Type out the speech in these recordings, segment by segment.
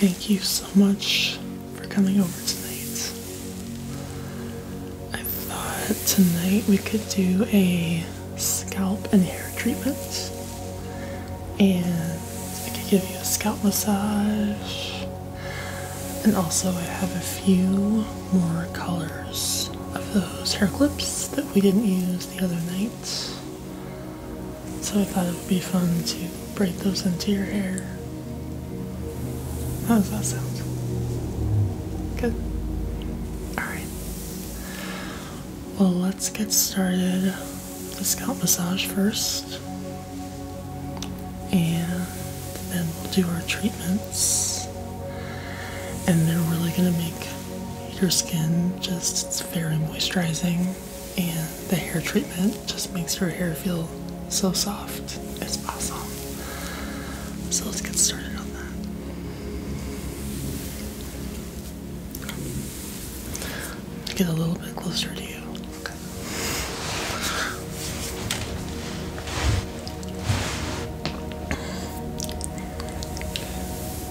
Thank you so much for coming over tonight. I thought tonight we could do a scalp and hair treatment, and I could give you a scalp massage, and also I have a few more colors of those hair clips that we didn't use the other night. So I thought it would be fun to braid those into your hair. How does that sound? Good. Alright. Well, let's get started. The scalp massage first. And then we'll do our treatments. And they're really going to make your skin just very moisturizing and the hair treatment just makes her hair feel so soft. It's awesome. So let's get started on that. Get a little bit closer to you.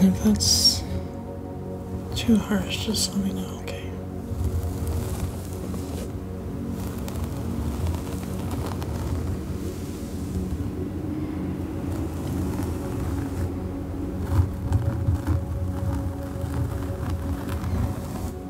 And if that's too harsh, just let me know, okay?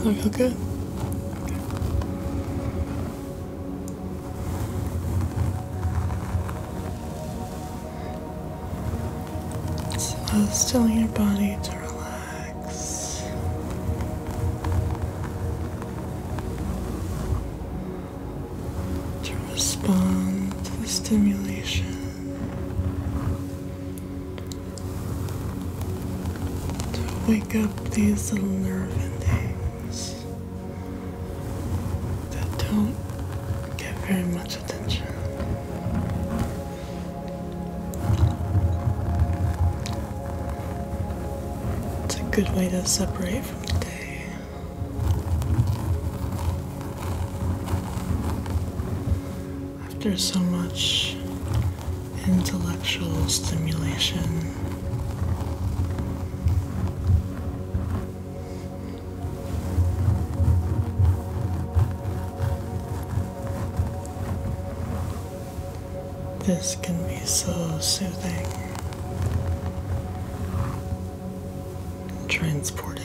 I you okay? It's uh, still in your body to relax. To respond to the stimulation. To wake up these little nerve endings that don't get very much attention. It's a good way to separate from the day. After so much intellectual stimulation. This can be so soothing transporting.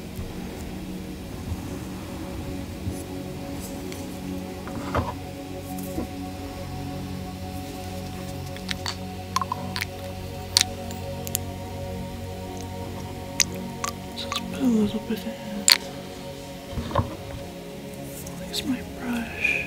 Just put a little bit in. There's my brush.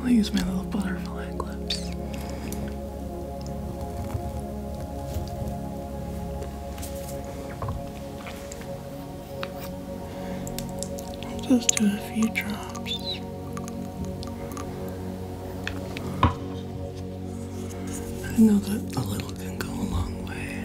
I'll use my little butterfly clips. just do a few drops. I know that a little can go a long way.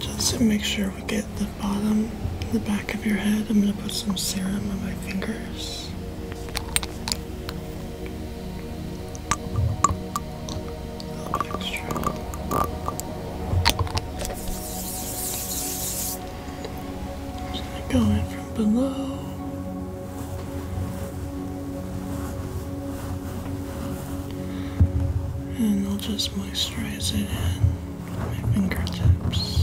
Just to make sure we get the bottom, the back of your head, I'm going to put some serum on my fingers. Just going from below. And I'll just moisturize it in with my fingertips.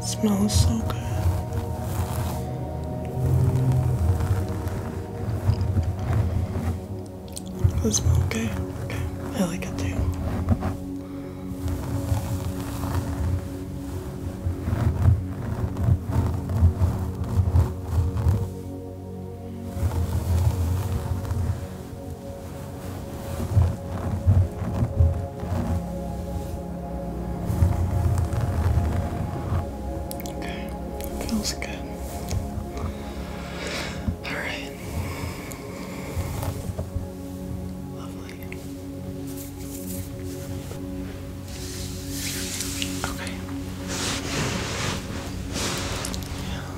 smells so good. Does it smell Okay. I like it too. Okay, that feels good. Alright. Lovely. Okay. Yeah.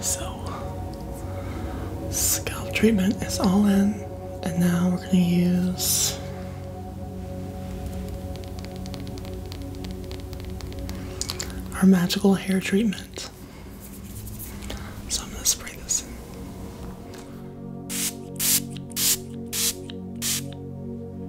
So, scalp treatment is all in, and now we're going to use our magical hair treatment. So, I'm going to spray this in.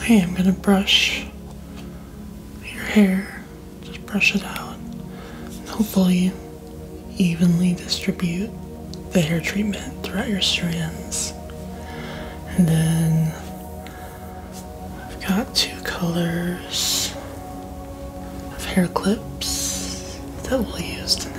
Hey, I'm gonna brush your hair. Just brush it out. And hopefully, evenly distribute the hair treatment throughout your strands. And then I've got two colors of hair clips that we'll use tonight.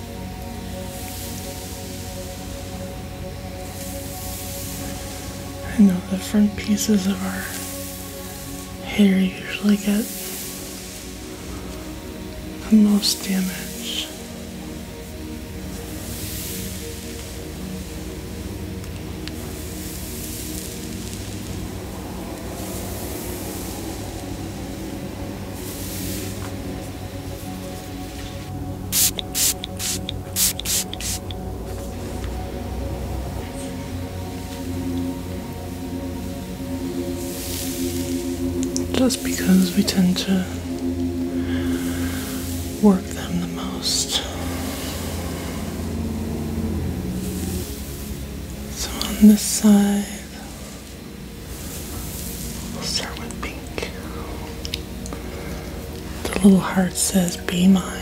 I know the front pieces of our hair usually get the most damage. Just because we tend to work them the most. So on this side. Start with pink. The little heart says, Be mine.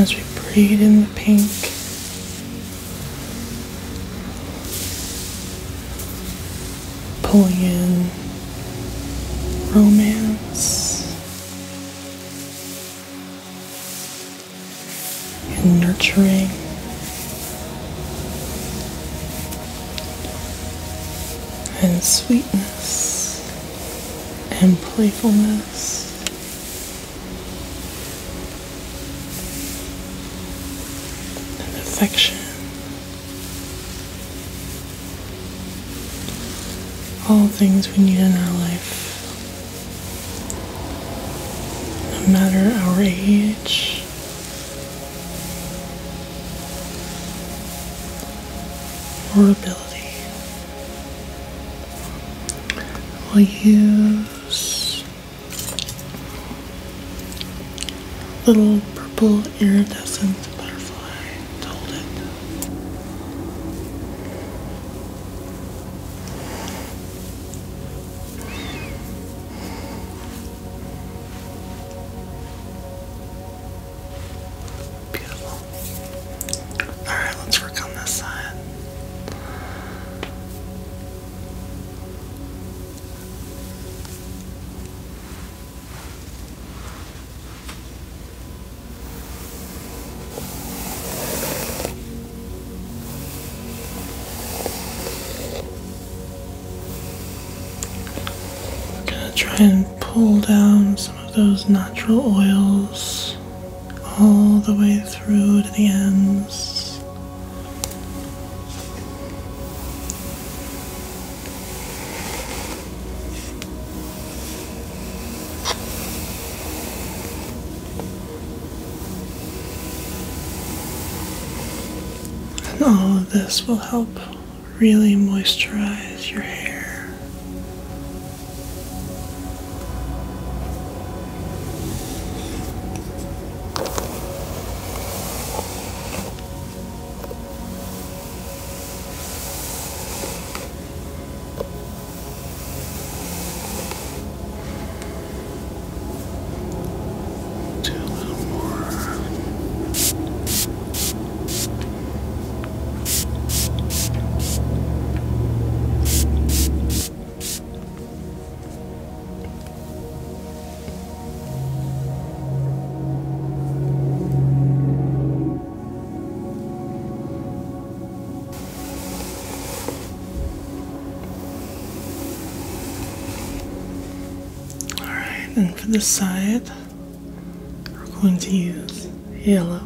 As we breathe in the pink, pulling in romance and nurturing. And sweetness and playfulness in this All things we need in our life, no matter our age. Or ability. we use Little purple iridescent butterfly told it. Beautiful. Alright, let's work on this side. I'm gonna try and pull down some of those natural oils all the way through to the ends. And all of this will help really moisturize your hair. Do a little more. All right, and for the side, we're going to use yellow.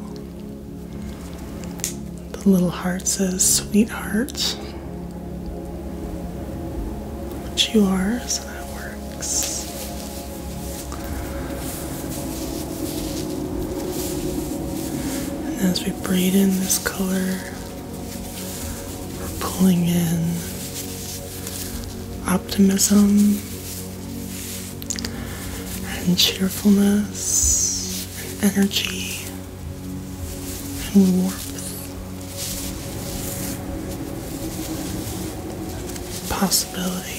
The little heart says sweetheart. Which you are, so that works. And as we braid in this color, we're pulling in optimism and cheerfulness and energy and warmth possibility.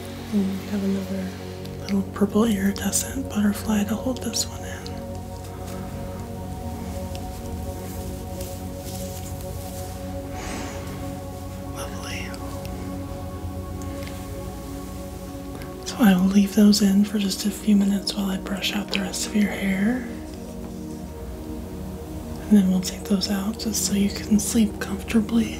And mm, we have another little purple iridescent butterfly to hold this one in. Lovely. So I will leave those in for just a few minutes while I brush out the rest of your hair. And then we'll take those out just so you can sleep comfortably.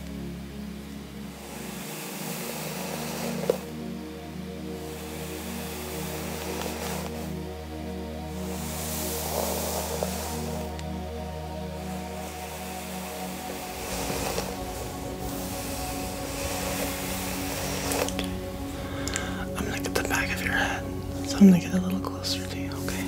I'm gonna get the back of your head, I'm gonna get a little closer to you, okay?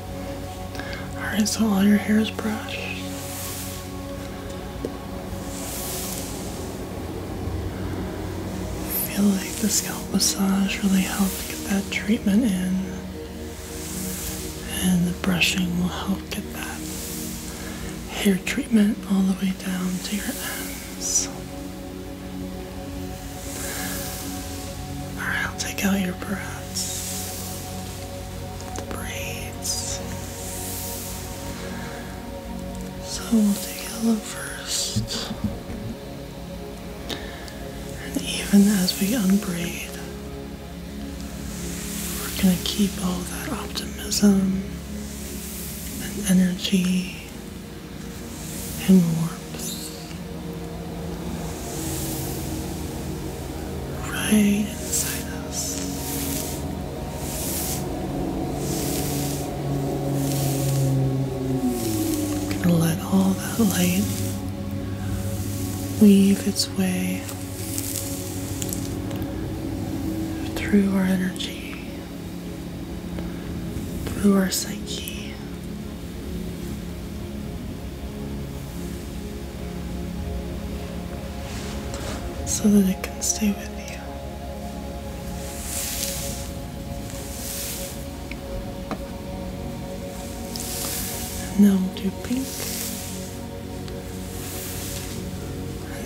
Alright, so all your hair is brushed. I feel like the scalp massage really helped get that treatment in. And the brushing will help get that hair treatment all the way down to your ends. Alright, I'll take out your breaths braids. So we'll do yellow first. And even as we unbraid, we're going to keep all that optimism and energy and warmth right inside us. we gonna let all that light weave its way through our energy, through our psyche so that it can stay with you. now we do pink.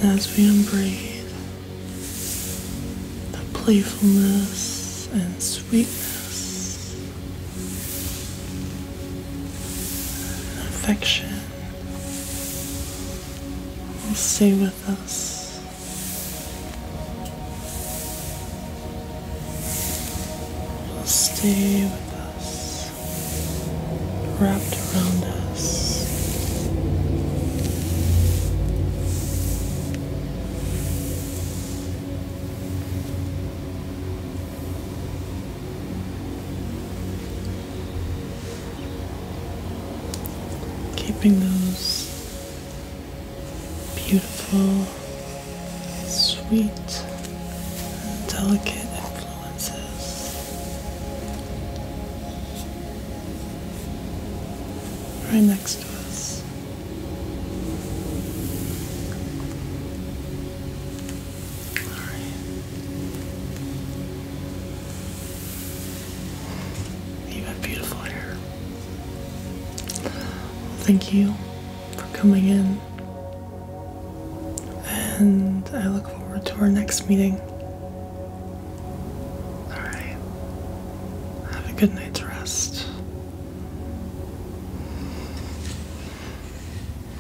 And as we unbraid, the playfulness and sweetness affection will stay with us. Will stay with us, wrapped around us. Keeping those beautiful, sweet, delicate influences right next to us. All right. You have beautiful hair. Thank you for coming in, and I look forward to our next meeting. Alright, have a good night's rest.